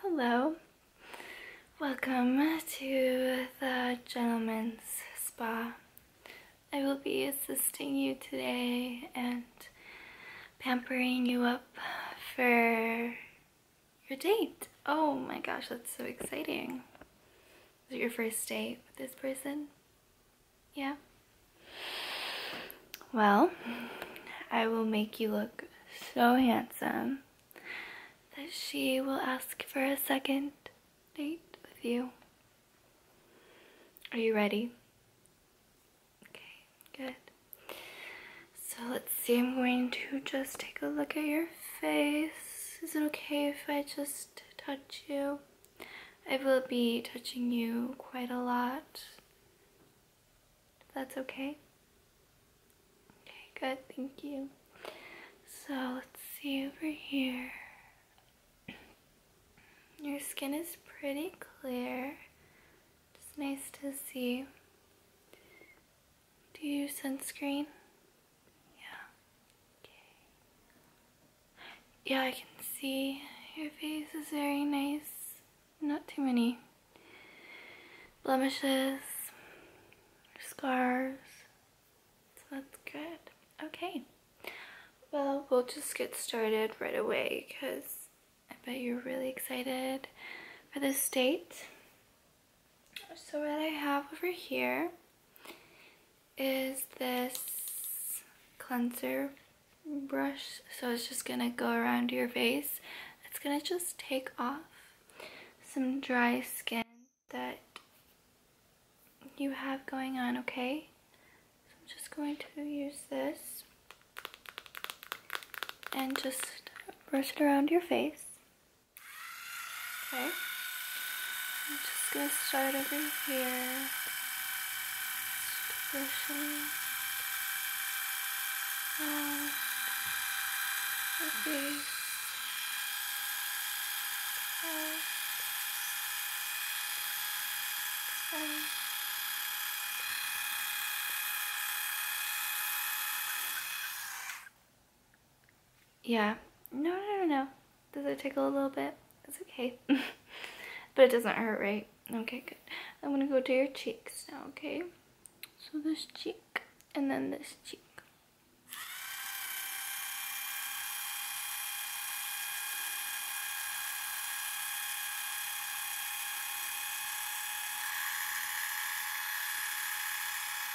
Hello, welcome to the Gentleman's Spa. I will be assisting you today and pampering you up for your date. Oh my gosh, that's so exciting. Is it your first date with this person? Yeah? Well, I will make you look so handsome that she will ask for a second date with you. Are you ready? Okay, good. So let's see, I'm going to just take a look at your face. Is it okay if I just touch you? I will be touching you quite a lot that's okay? Okay, good, thank you. So let's see over here. Your skin is pretty clear. Just nice to see. Do you use sunscreen? Yeah. Yeah, I can see your face is very nice not too many blemishes, scars. So that's good. Okay. Well, we'll just get started right away because I bet you're really excited for this date. So what I have over here is this cleanser brush so it's just gonna go around your face it's gonna just take off some dry skin that you have going on okay so I'm just going to use this and just brush it around your face okay I'm just gonna start over here just Yeah. No, no, no, no. Does it tickle a little bit? It's okay. but it doesn't hurt, right? Okay, good. I'm going to go to your cheeks now, okay? So this cheek and then this cheek.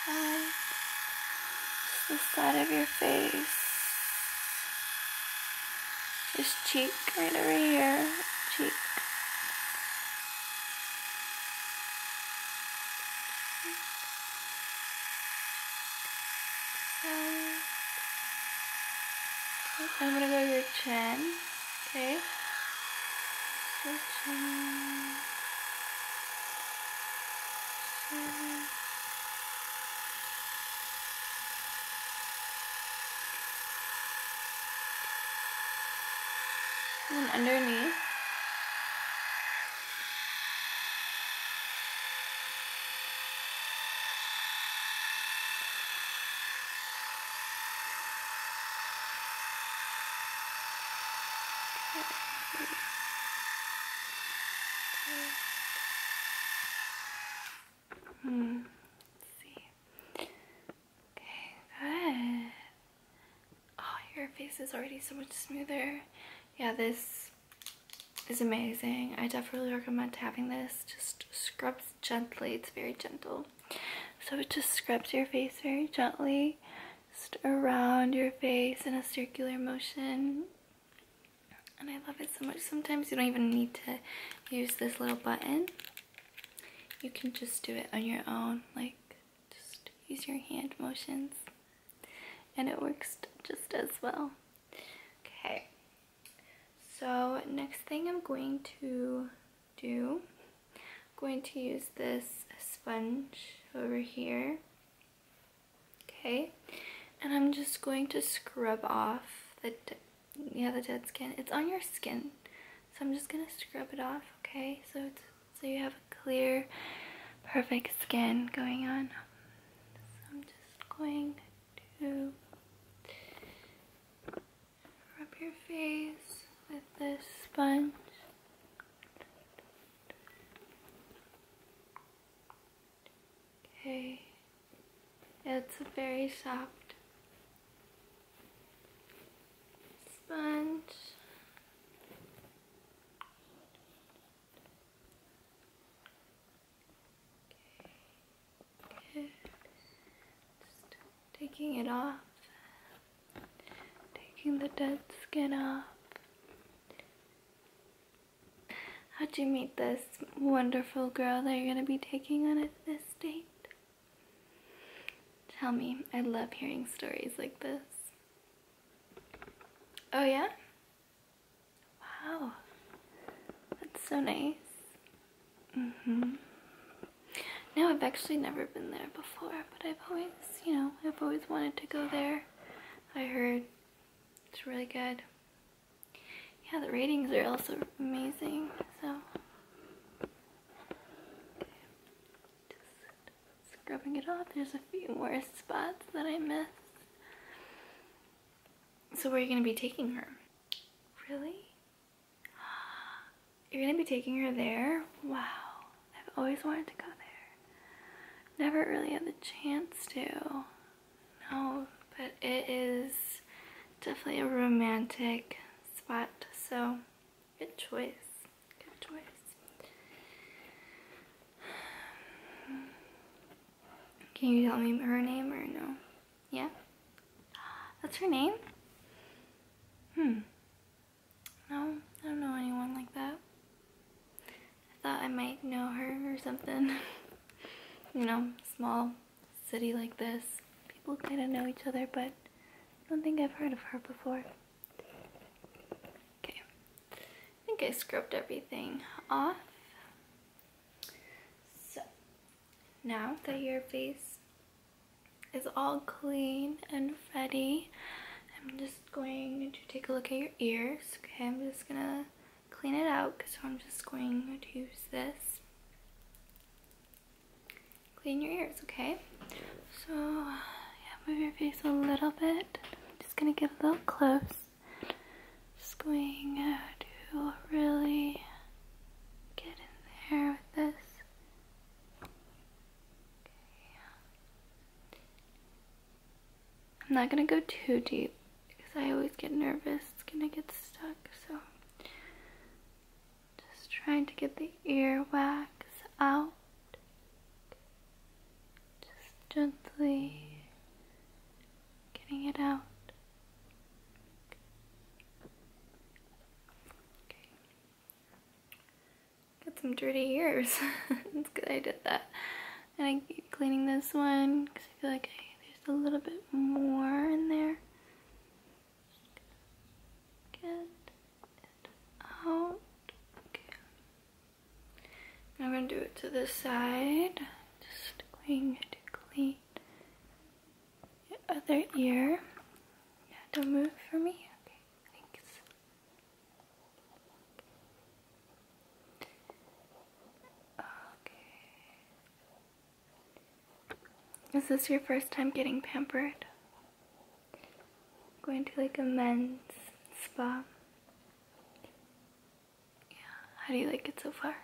Right. the side of your face this cheek right over here. Cheek. I'm gonna go to your chin. Okay. Your chin. And underneath. Hmm, let's see. Okay, Oh, your face is already so much smoother. Yeah, this is amazing. I definitely recommend having this. Just scrubs gently. It's very gentle. So it just scrubs your face very gently. Just around your face in a circular motion. And I love it so much. Sometimes you don't even need to use this little button. You can just do it on your own. Like, just use your hand motions. And it works just as well. Okay. So, next thing I'm going to do, I'm going to use this sponge over here. Okay, and I'm just going to scrub off the, yeah, the dead skin. It's on your skin, so I'm just gonna scrub it off. Okay, so so you have a clear, perfect skin going on. I'm just going to rub your face with this sponge. Okay. It's a very soft sponge. taking it off. Taking the dead skin off. How'd you meet this wonderful girl that you're going to be taking on at this date? Tell me. I love hearing stories like this. Oh, yeah? Wow. That's so nice. Mm-hmm. No, I've actually never been there before, but I've always, you know, I've always wanted to go there. I heard it's really good yeah, the ratings are also amazing. So, scrubbing it off. There's a few more spots that I missed. So where are you going to be taking her? Really? You're going to be taking her there? Wow. I've always wanted to go there. Never really had the chance to no, but it is definitely a romantic spot, so good choice. Good choice. Can you tell me her name or no? Yeah? That's her name? Hmm. No, I don't know anyone like that. I thought I might know her or something. you know, small city like this. People kind of know each other, but I don't think I've heard of her before. Okay. I think I scrubbed everything off. So, now that your face is all clean and ready, I'm just going to take a look at your ears. Okay, I'm just gonna clean it out, so I'm just going to use this. Clean your ears, okay? So, yeah, move your face a little bit. I'm just going to get a little close. Just going uh, to really get in there with this. I'm not going to go too deep because I always get nervous. It's going to get stuck. So just trying to get the earwax out. Just gently getting it out. Got some dirty ears. it's good I did that. And I keep cleaning this one because I feel like there's a little bit more in there. Get it out. Okay. I'm going to do it to this side. Just going to clean the other ear. Yeah, don't move for me. Okay, thanks. Okay. Is this your first time getting pampered? Going to like a men's spa? Yeah, how do you like it so far?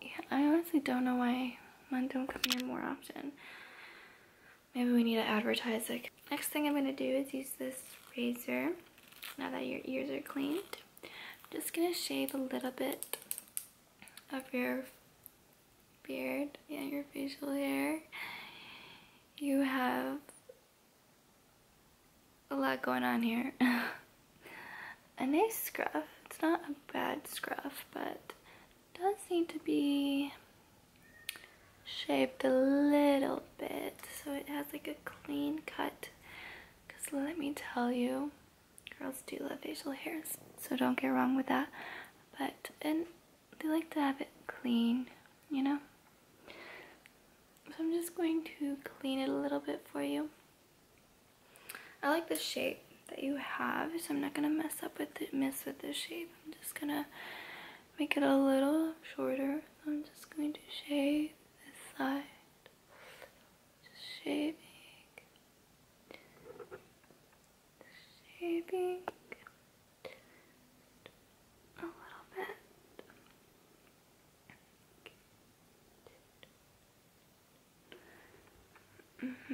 Yeah, I honestly don't know why men don't come here more often. Maybe we need to advertise it. Next thing I'm going to do is use this razor. Now that your ears are cleaned, I'm just going to shave a little bit of your beard and your facial hair. You have a lot going on here. a nice scruff. It's not a bad scruff, but does seem to be shaped a little bit so it has like a clean cut because let me tell you girls do love facial hairs so don't get wrong with that but and they like to have it clean you know so I'm just going to clean it a little bit for you I like the shape that you have so I'm not gonna mess up with it mess with the shape I'm just gonna make it a little shorter. I'm just going to shave this side. Just shaving. Shaving. A little bit.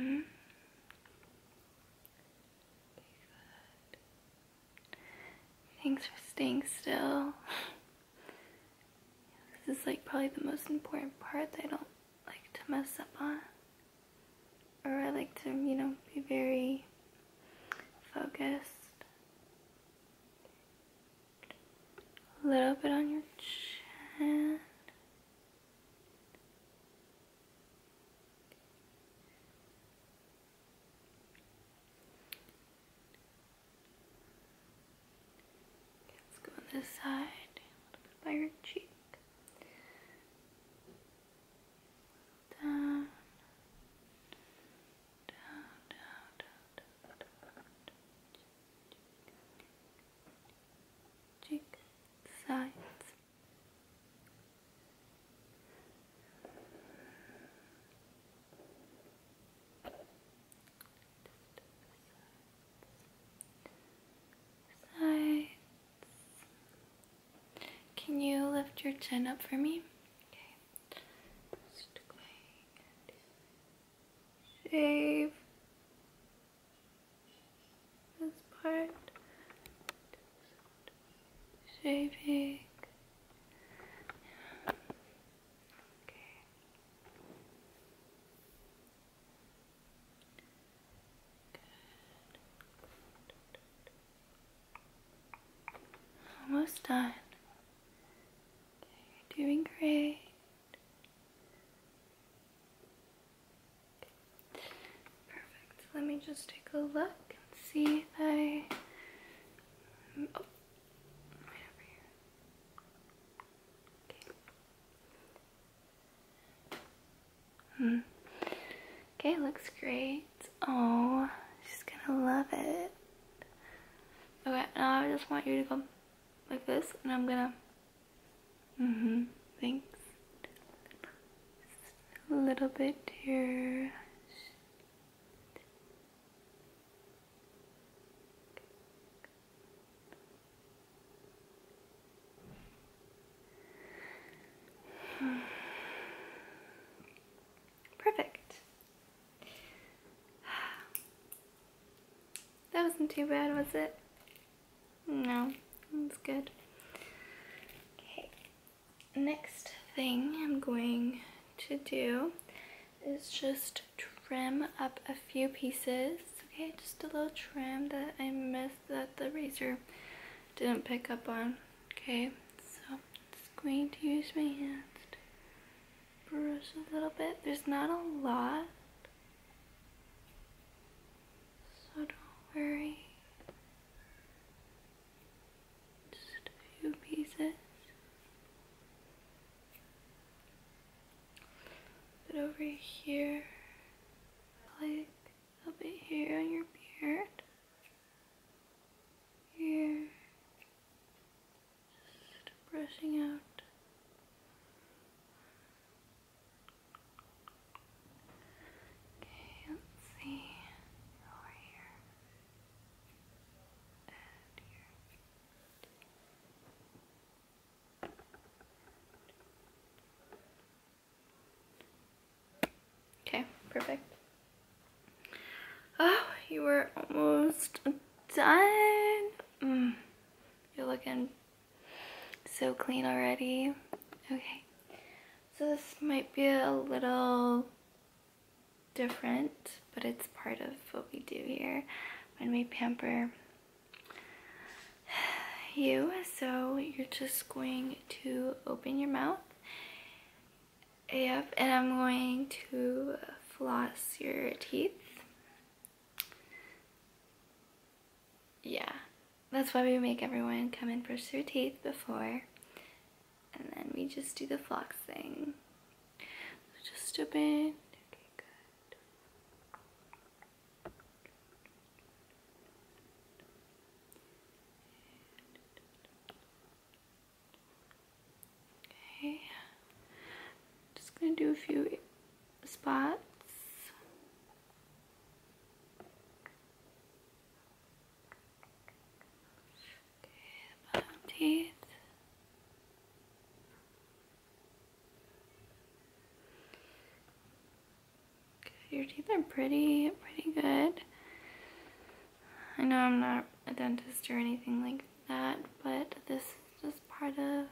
Mm-hmm. Good. Thanks for staying still. This is like probably the most important part that I don't like to mess up on. Or I like to, you know, be very focused. A little bit on your chin. Let's go on this side, a little bit by your cheek. Down, down, down, down, down, Cheek, sides, Sides. Can you lift your chin up for me? Okay. shave this part, just shaving. Okay. Good. Almost done. you're doing great. Perfect. Let me just take a look and see if I. Oh, hmm. Okay. looks great. Oh, she's gonna love it. Okay, now I just want you to come like this, and I'm gonna Mm-hmm. Thanks. a little bit here. Perfect. That wasn't too bad, was it? No, that's good. Okay, next thing I'm going to do is just trim up a few pieces. Okay, just a little trim that I missed that the razor didn't pick up on. Okay, so I'm going to use my hands to brush a little bit. There's not a lot. So don't worry. Just a few pieces. But over here, like a bit here on your beard. Here. Just brushing out Okay, let's see Okay, perfect. Oh, you were almost done. Mm, you're looking so clean already. Okay. So this might be a little different, but it's part of what we do here when we pamper you. So you're just going to open your mouth. up, and I'm going to floss your teeth yeah, that's why we make everyone come and brush their teeth before. And then we just do the floss thing. So just a bit. Okay, good. Okay. Just gonna do a few spots. teeth. your teeth are pretty, pretty good. I know I'm not a dentist or anything like that, but this is just part of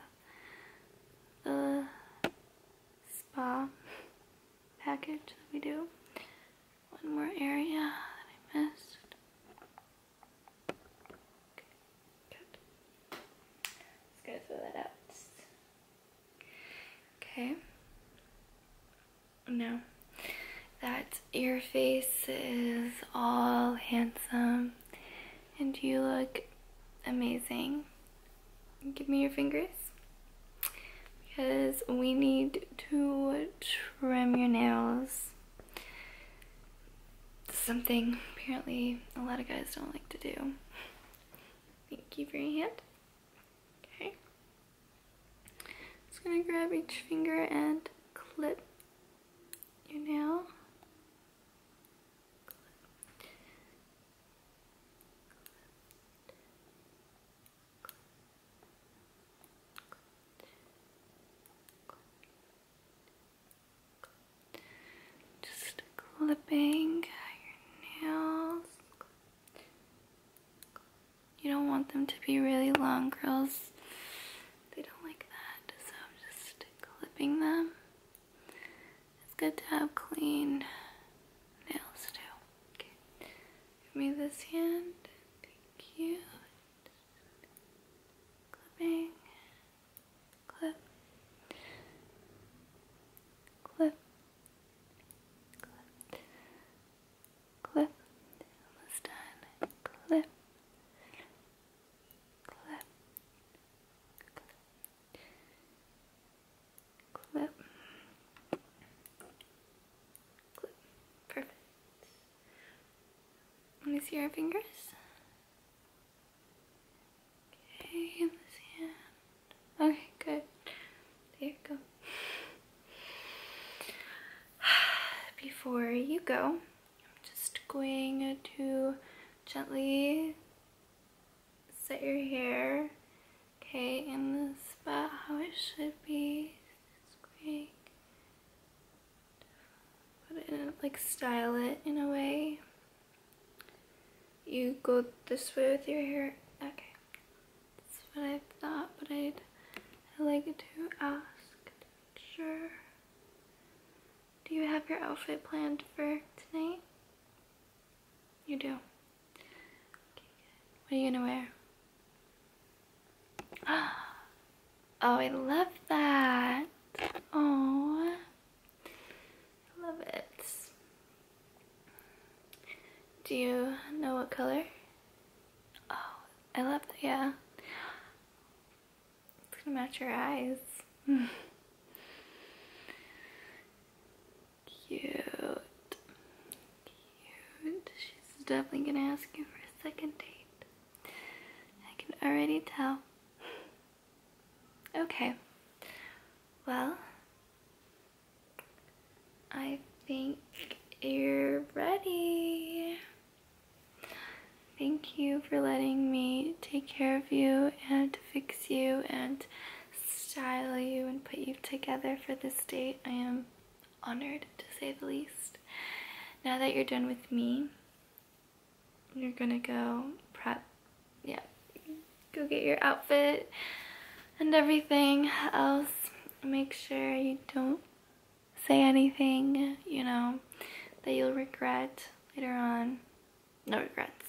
uh, spa package that we do. One more area that I missed. Okay, good. Okay. Now that your face is all handsome and you look amazing. Give me your fingers because we need to trim your nails. Something apparently a lot of guys don't like to do. Thank you for your hand. Okay. Just gonna grab each finger and clip your nail. Just clipping your nails. You don't want them to be really long, girls they don't like that, so I'm just clipping them. It's good to have clean nails too. Give me this hand. Thank you. Clipping. Clip. Clip. Clip. Clip. Almost done. Clip clip, clip, clip, Perfect. Let me see your fingers. Okay, Okay, good. There you go. Before you go, I'm just going to gently set your hair, okay, in this spot how it should be. Just put it like style it in a way. You go this way with your hair. Okay, that's what I thought, but I'd, I'd like to ask Sure. Do you have your outfit planned for tonight? You do. what are you gonna wear? Oh, I love that. Oh, I love it. Do you know what color? Oh, I love that, yeah. It's gonna match your eyes. Cute. Cute. She's definitely gonna ask you for a second date. I can already tell. Okay. Well, I think you're ready. Thank you for letting me take care of you and fix you and style you and put you together for this date. I am honored to say the least. Now that you're done with me, you're gonna go prep. Yeah, go get your outfit and everything else. Make sure you don't say anything, you know, that you'll regret later on. No regrets.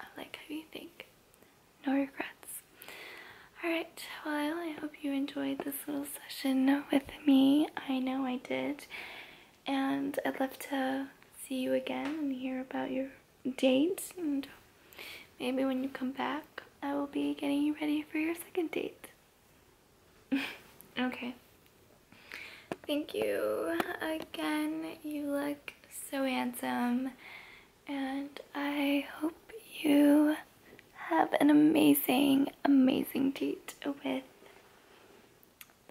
I like how you think. No regrets. Alright, well I hope you enjoyed this little session with me. I know I did. And I'd love to see you again and hear about your dates. And maybe when you come back, I will be getting you ready for your second date. okay. Thank you again. You look so handsome. And I hope you have an amazing, amazing date with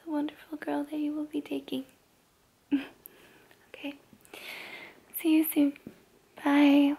the wonderful girl that you will be taking. okay. See you soon. Bye.